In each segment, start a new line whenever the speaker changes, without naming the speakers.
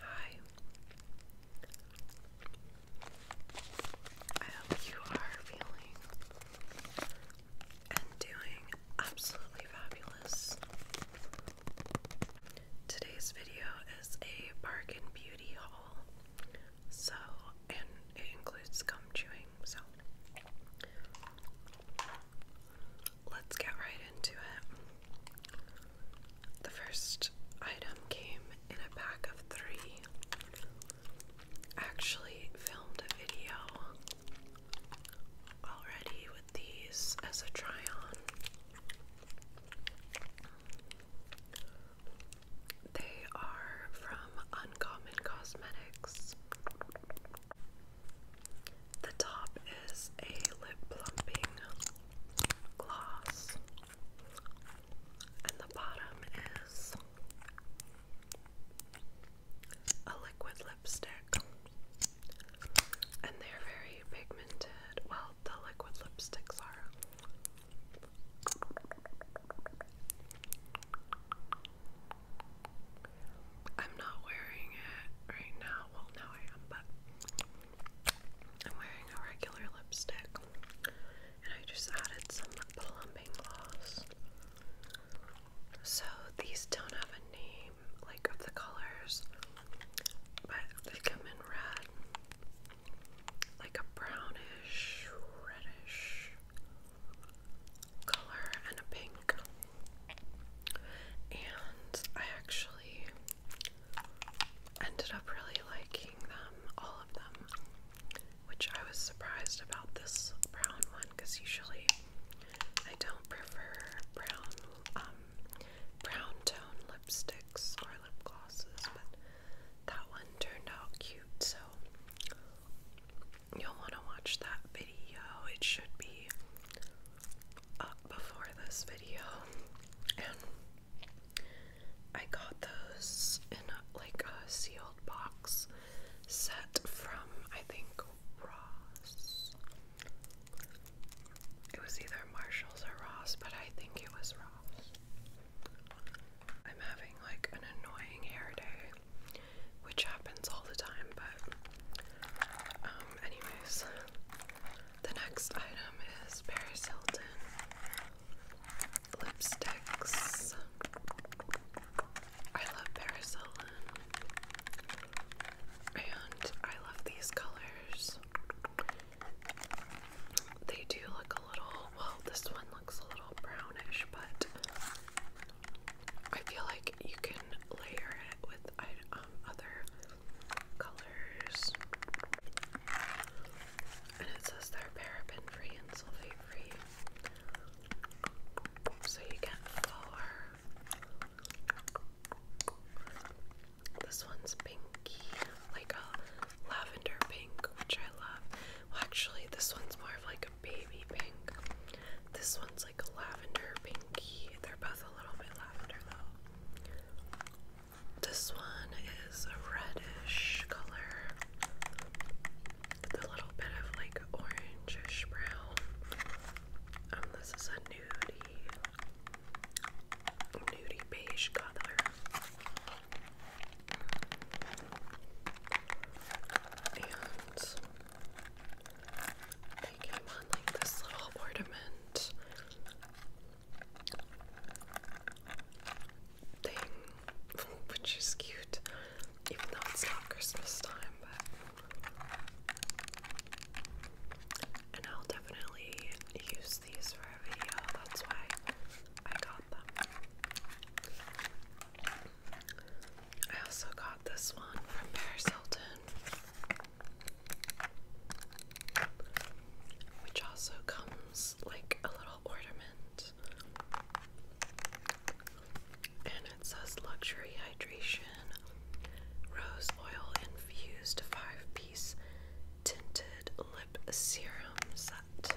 Hi. I hope you are feeling and doing absolutely fabulous. Today's video is a bargain beauty haul. So, and it includes gum chewing. So, let's get right into it. The first item came in a pack of three. actually filmed a video already with these as a try on. They are from Uncommon Cosmetics. The top is a lip plumping gloss, and the bottom is a liquid lipstick. And they're very pigmented. Well, the liquid lipsticks are. I'm not wearing it right now. Well, now I am, but I'm wearing a regular lipstick. And I just added some plumping gloss. So these don't have a name, like of the colors, but they come in red, like a brownish, reddish color, and a pink and I actually ended up really liking them, all of them, which I was surprised about this brown one because usually I don't prefer brown, um, brown tone lipsticks or lip glosses, but that one turned out cute, so you'll want to watch that video. It should be up before this video, and I got those in like a sealed box set from I think Ross. It was either Marshalls or Ross, but I think it was Ross. I'm having like an annoying hair day, which happens all the time, but um, anyways the next item is Paris Hilton lipsticks. I love Paris Hilton, and I love these colors. They do look a little, well, this one looks a little brownish, but I feel like you can layer it with um, other colors. And it says they're paraben free and sulfate free. So you get four. This one's pinky, like a lavender pink, which I love. Well, actually, this one's more of like a baby pink. This one's this one is a reddish color with a little bit of like orangish brown. Um, this is a nudie, nudie beige color. They came on like this little ornament thing, which is cute, even though it's not Christmas time, but. And I'll definitely use these for a video, that's why I got them. I also got this one from Paris Hilton, which also comes like a little ornament. And it says luxury hydration, rose oil infused five piece tinted lip serum set.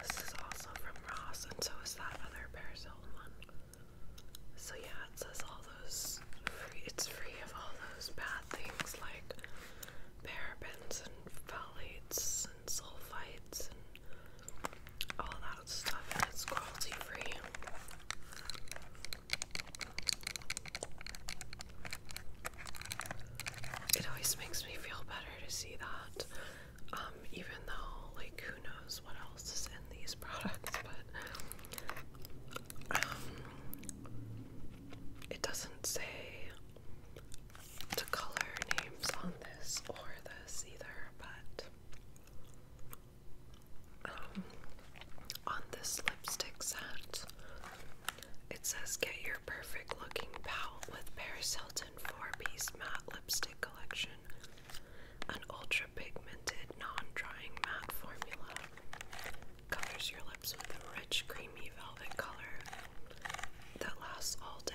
This is also from Ross, and so is that other Parasol one. So yeah, it says all those. Free, it's free of all those bad things like parabens and phthalates and sulfites and all that stuff, and it's cruelty free. It always makes me feel better to see that. Um, even though, like, who knows what else is in these products, but um, it doesn't say the color names on this or this either, but um, on this lipstick set, it says get your perfect looking palette with Paris four-piece matte lipstick collection, an ultra-pigmented, non-drying matte formula. Covers your lips with a rich, creamy velvet color that lasts all day.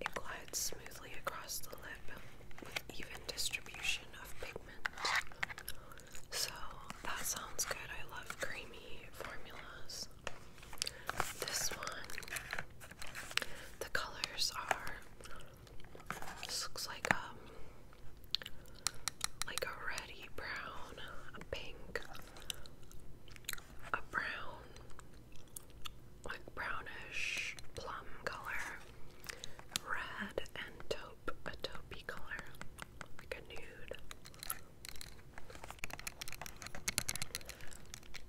It glides smoothly across the lip with even distribution of pigment. So that sounds good. I love creamy formulas. This one, the colors are. This looks like um, like a reddy brown, a pink, a brown, like brownish plum color, red and taupe, a taupey color, like a nude.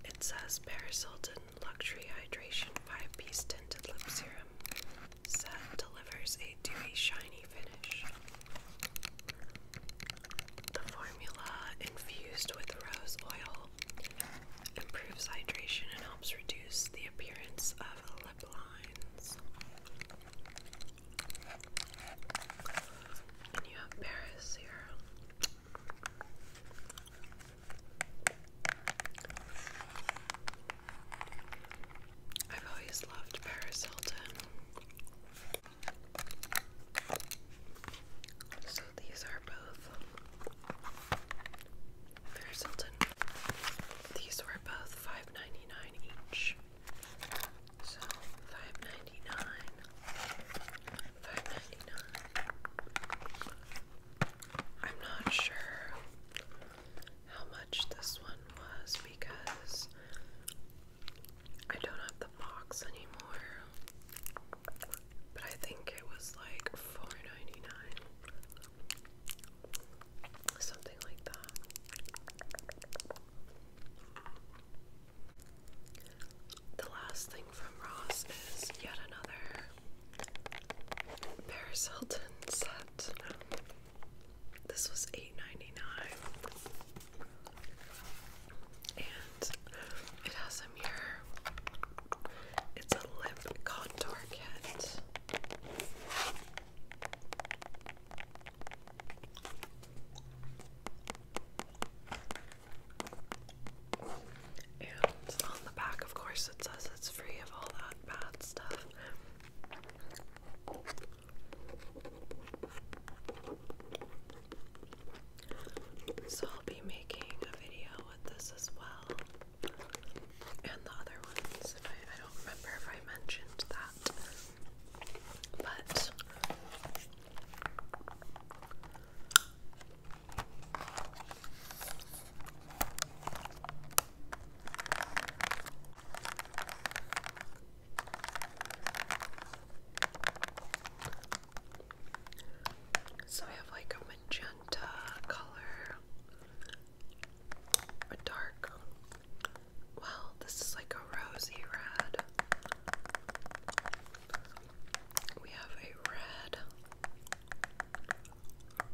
It says Paris Hilton Luxury Hydration 5 Piece Tinted Lip Serum. Set delivers a dewy, shiny finish. The formula, infused with rose oil, improves hydration and helps reduce the appearance of lip lines. And you have Paris here. I've always loved Paris Hilton. So these are both Paris Hilton. These were both 5 each. So five ninety nine, five ninety nine. I'm not sure how much this one was because I don't have the box anymore. But I think it was like four ninety nine. Something like that. The last thing from Ross is yet another Paris Hilton set. This was eight ninety nine, And it has a It's a lip contour kit. And on the back, of course, it says it's free of all that bad stuff. So I'll be making a video with this as well. And the other ones. I, don't remember if I mentioned that. But so we have like a magenta color, a dark well, this is like a rosy red. We have a red,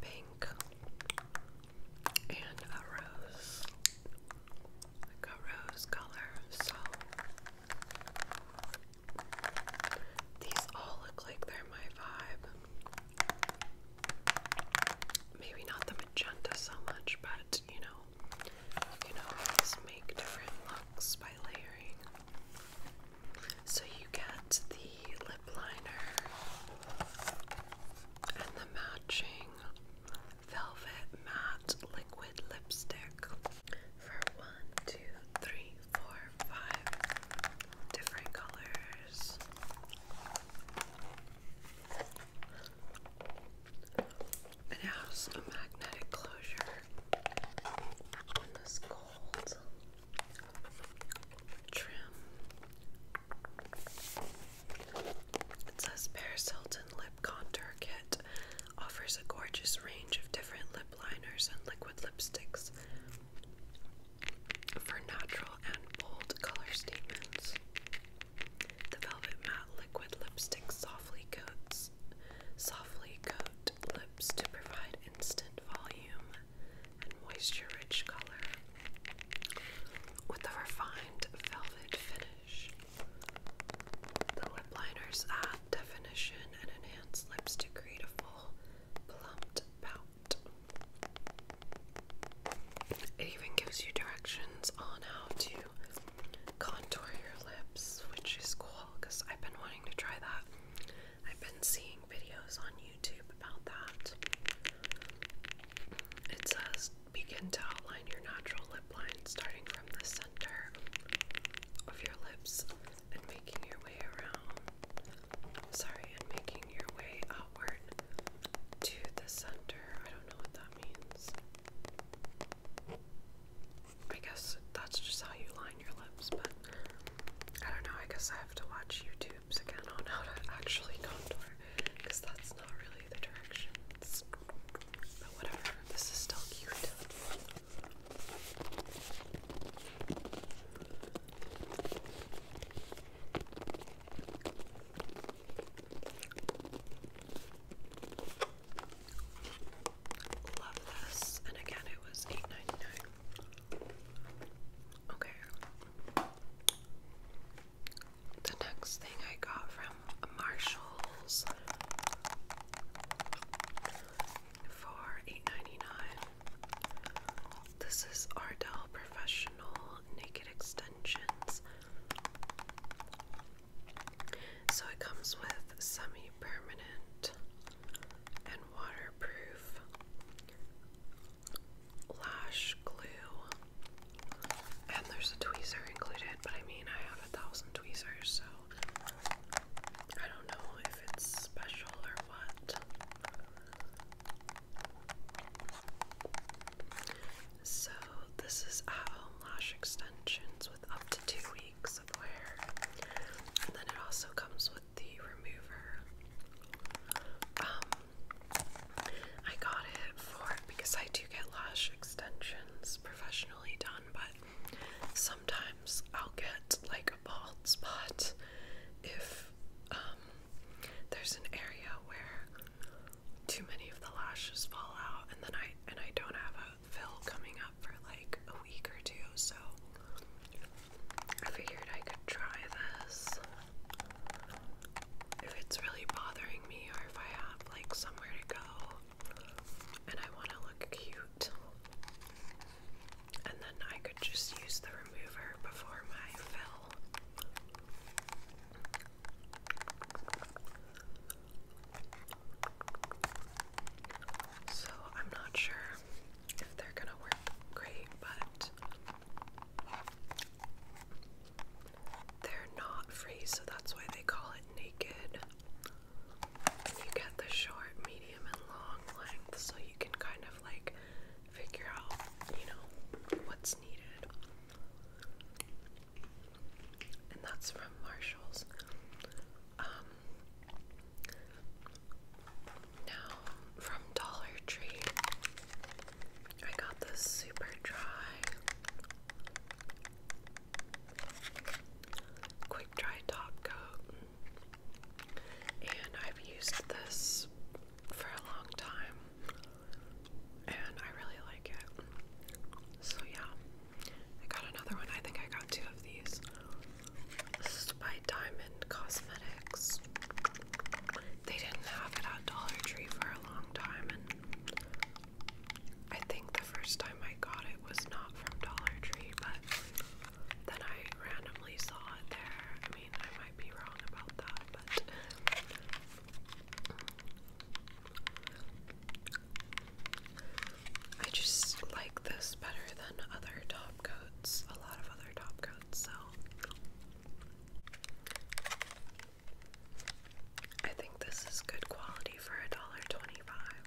pink, and a rose. Like a rose color. So these all look like they're my vibe. Maybe not the magenta so much, but you know, you can always make different looks by layering. So you get the lip liner and the matching velvet matte liquid lipstick for one, two, three, four, five different colors. It has a magnetic closure on this gold trim. It Paris Hilton Lip Contour Kit offers a gorgeous range of different lip liners and liquid lipsticks for natural and bold color statements. The velvet matte liquid lipstick softly coats softly coat lips to provide instant volume and moisture-rich color with a refined velvet finish. The lip liners add definition and enhance lips to create a full plumped pout. It even gives you directions on how to contour your lips, which is cool because I've been wanting to try that. I've been seeing videos on YouTube about that. It says begin to outline your natural lip line starting from the center of your lips and making your way around. sorry, and making your way outward to the center. I don't know what that means. I guess that's just how you line your lips, but I don't know. I guess I have to watch YouTubes again on how to actually contour because that's not really the directions. But whatever, this is still cute. Love this. And again, it was 8 Okay. The next thing I got from Marshalls for 8 This is Ardell Professional Naked Extensions. So it comes with semi permanent and waterproof lash glue. And there's a tweezer included, but I mean, I have a thousand tweezers, so I don't know if it's special or what. So, this is at home lash extensions with up to two weeks of wear. And then it also comes with the remover. Um, I got it for because I do get lash extensions professionally done, but sometimes I'll get like a bald spot if um, there's an area where too many of the lashes fall out and then I and I don't have a fill coming up for like a week or two, so I figured I could try this. If it's really bothering me or if I have like somewhere to go and I want to look cute. And then I could just use the remover before my fill. So I'm not sure if they're gonna work great, but they're not free, so that's why they call it naked. you get the short, medium, and long length, so you can kind of like figure out, you know, what's needed and that's from Marshalls. Um, now from Dollar Tree, I got this super dry quick dry top coat, and I've used this for a long time and I really like it. So yeah, I got another one. I think I got two of these. This is by Diamond Cosmetics. They didn't have it at Dollar Tree for a long time, and I think the first time I got it was not from Dollar Tree, but then I randomly saw it there. I mean, I might be wrong about that, but I just like this better than other top coats, a lot of other top coats, so I think this is good quality for a dollar twenty five.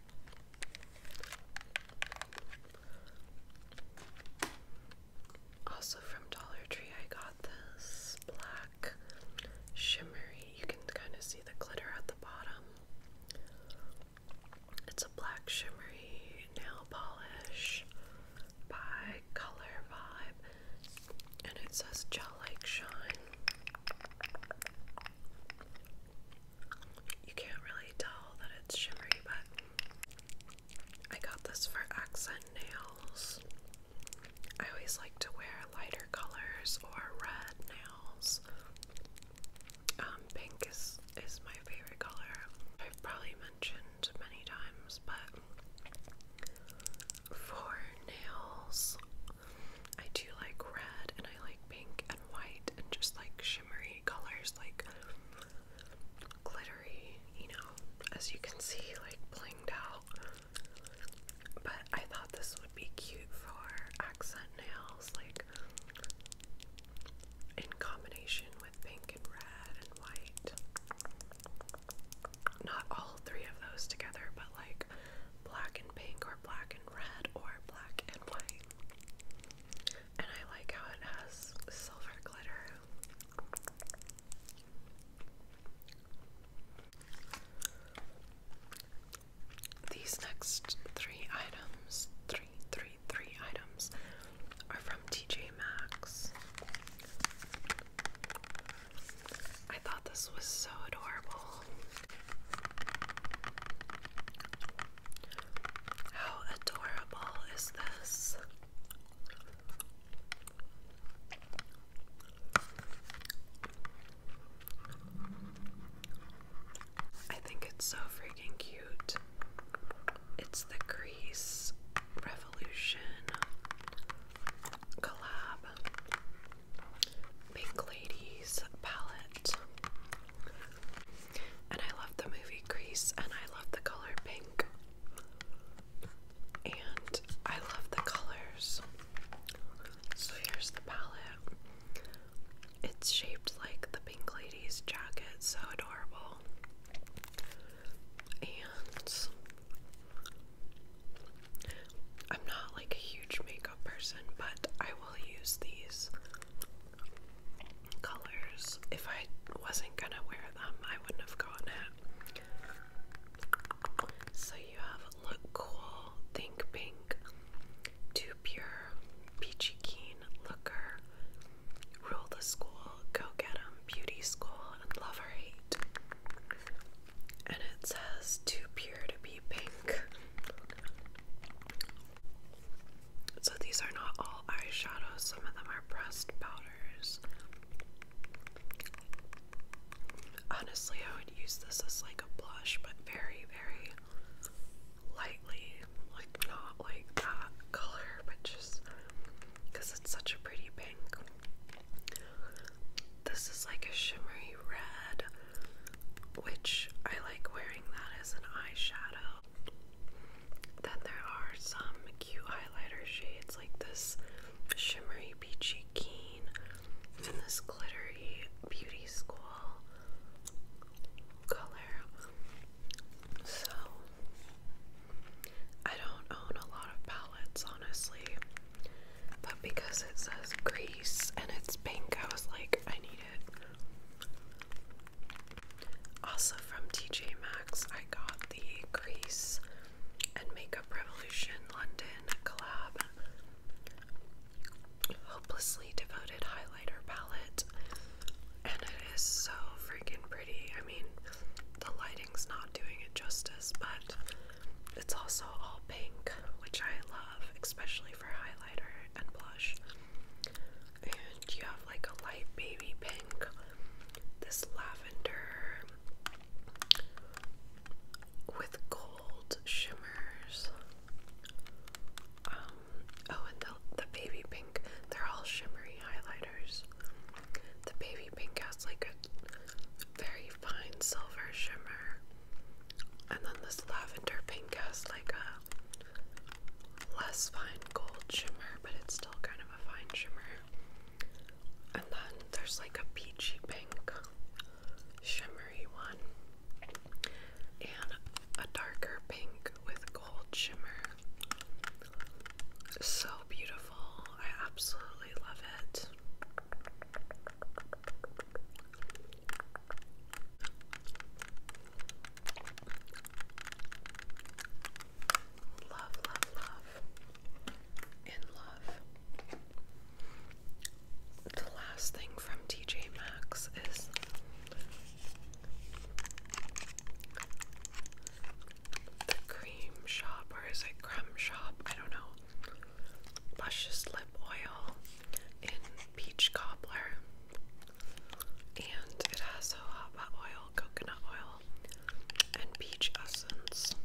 Also from Dollar Tree I got this black shimmery. You can kind of see the glitter at the bottom. It's a black shimmery nail polish by Color Vibe, and it says Gel Like Shine. You can't really tell that it's shimmery, but I got this for accent nails. I always like to wear lighter colors or red nails. Um, pink is is my favorite color. I've probably mentioned many times, but for nails, I do like red and I like pink and white and just like shimmery colors, like glittery, you know, as you can see, like blinged out. But I thought this would be cute for accent nails, like in combination with pink and red and white. Not all three of those together, but like black and pink, or black and red, or black and white. And I like how it has silver glitter. These next three items, three, three, three items, are from TJ Maxx. I thought this was so adorable. How adorable is this? I think it's so freaking cute. It's the Grease Revolution collab Pink Ladies palette. And I love the movie Grease and I love the color pink and I love the colors. So here's the palette. It's shaped like the Pink Lady's jacket, so adorable. And I'm not like a huge makeup person, but I will use these colors. If I wasn't gonna wear them, I wouldn't have gotten it. So you have Look Cool, Think Pink, Too Pure, Peachy Keen, Looker, Rule the School, Go Get 'em, Beauty School, and Love or Hate. And it says Too Pure to Be Pink. So these are not all eyeshadows, some of them are pressed powders. Honestly, I would use this as like a blush, but very, very lightly. Like, not like that color, but just because it's such a pretty pink. This is like a shimmery red, which I like wearing that as an eyeshadow. Then there are some cute highlighter shades like this shimmery, peachy keen, and this glittery beauty school color. So I don't own a lot of palettes, honestly, but because it says Grease and it's pink, I was like, I need it. Also from TJ Maxx, I got the Grease and Makeup Revolution London collab Hopelessly Devoted Highlighter Palette. And it is so freaking pretty. I mean, the lighting's not doing it justice, but it's also all pink, which I love, especially for highlighter and blush. And you have like a light baby pink, this lavender with gold shimmers. Um, oh, and the, the baby pink, they're all shimmery highlighters. The baby pink has like a very fine silver shimmer, and then this lavender pink has like a less fine gold shimmer, but it's still kind of a fine shimmer. And then there's like a peachy pink shimmery one. And a darker pink with gold shimmer. So beautiful. I absolutely love it. Love, love, love in love. The last thing from TJ Maxx is the cream shop, or is it crumb shop? I don't know. Luscious lip oil in peach cobbler, and it has jojoba oil, coconut oil, and peach essence.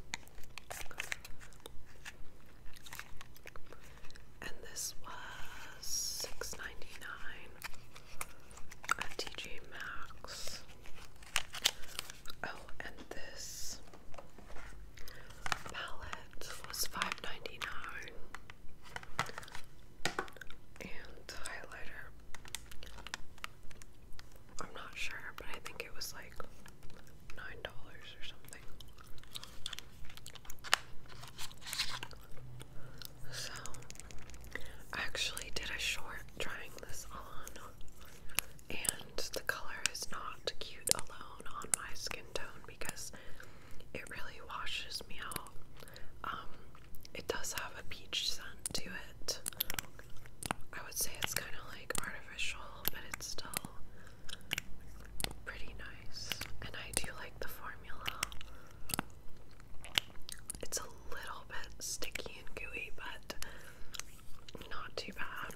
And this was $6.99 at TJ Maxx. Oh, and this palette was five ninety nine, And highlighter I'm not sure, but I think it was like nine dollars or something. So I actually did a short trying this on and the color is not cute alone on my skin tone because it really washes me out. Um, it does have a peach scent to it. I would say it's kind of like artificial, but it's still pretty nice. And I do like the formula. It's a little bit sticky and gooey, but not too bad.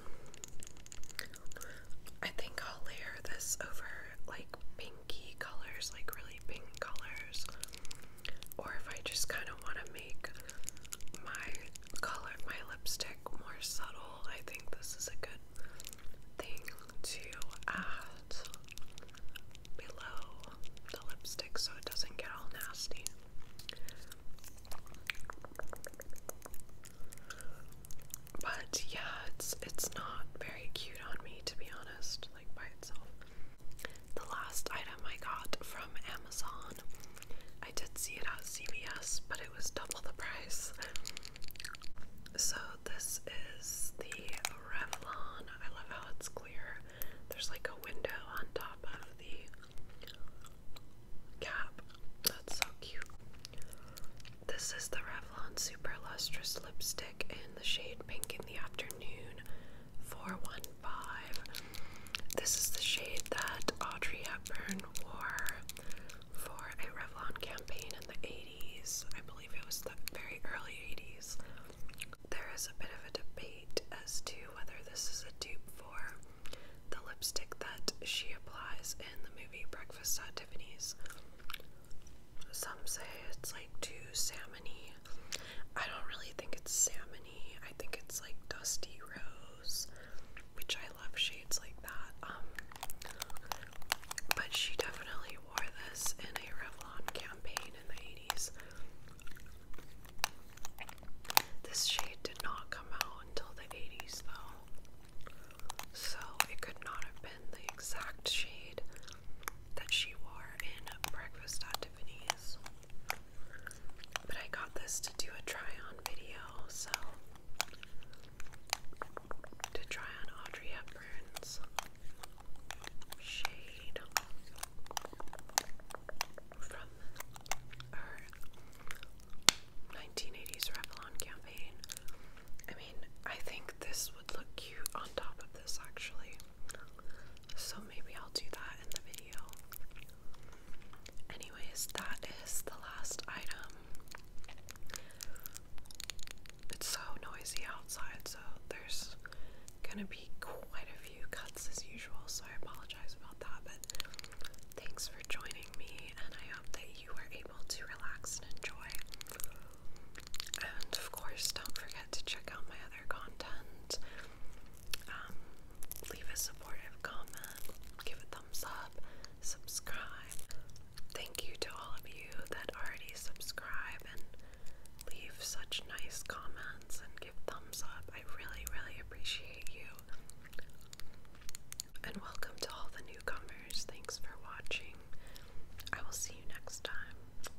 I think I'll layer this over like pinky colors, like really pink colors or if I just kind of want to make my color, my lipstick more subtle, I think this is a good thing to add below the lipstick so it doesn't get all nasty. But yeah, it's it's not very cute on me to be honest, like by itself the last item I got from Amazon. I did see it at CVS, but it was double the price. So, this is the Revlon. I love how it's clear. There's like a window on top of the cap. That's so cute. This is the Revlon Super Lustrous Lipstick in the shade Pink in the Afternoon for $1.99 five. This is the shade that Audrey Hepburn wore for a Revlon campaign in the 80s. I believe it was the very early 80s. There is a bit of a debate as to whether this is a dupe for the lipstick that she applies in the movie Breakfast at Tiffany's. Some say it's like two salmon I don't really think it's salmony. I think it's like dusty rose, which I love shades like that. Um, but she definitely wore this in a Revlon campaign in the 80s. This shade did not come out until the 80s, though. So it could not have been the exact shade that she wore in Breakfast at Tiffany's. But I got this to do a try on video, so to try on Audrey Hepburn's shade from her 1980s Revlon campaign. I mean, I think this would look cute on top of this actually. So maybe I'll do that in the video. Anyways, that is the last item. It's so noisy outside, so there's gonna be quite a few cuts as usual, so I apologize about that. But thanks for joining me, and I hope that you were able to relax and enjoy. And of course, don't forget to check out my other content. Um, leave a supportive comment, give a thumbs up, subscribe. Thank you to all of you that already subscribe and leave such nice comments and give thumbs up. I really, really appreciate you. And welcome to all the newcomers. Thanks for watching. I will see you next time.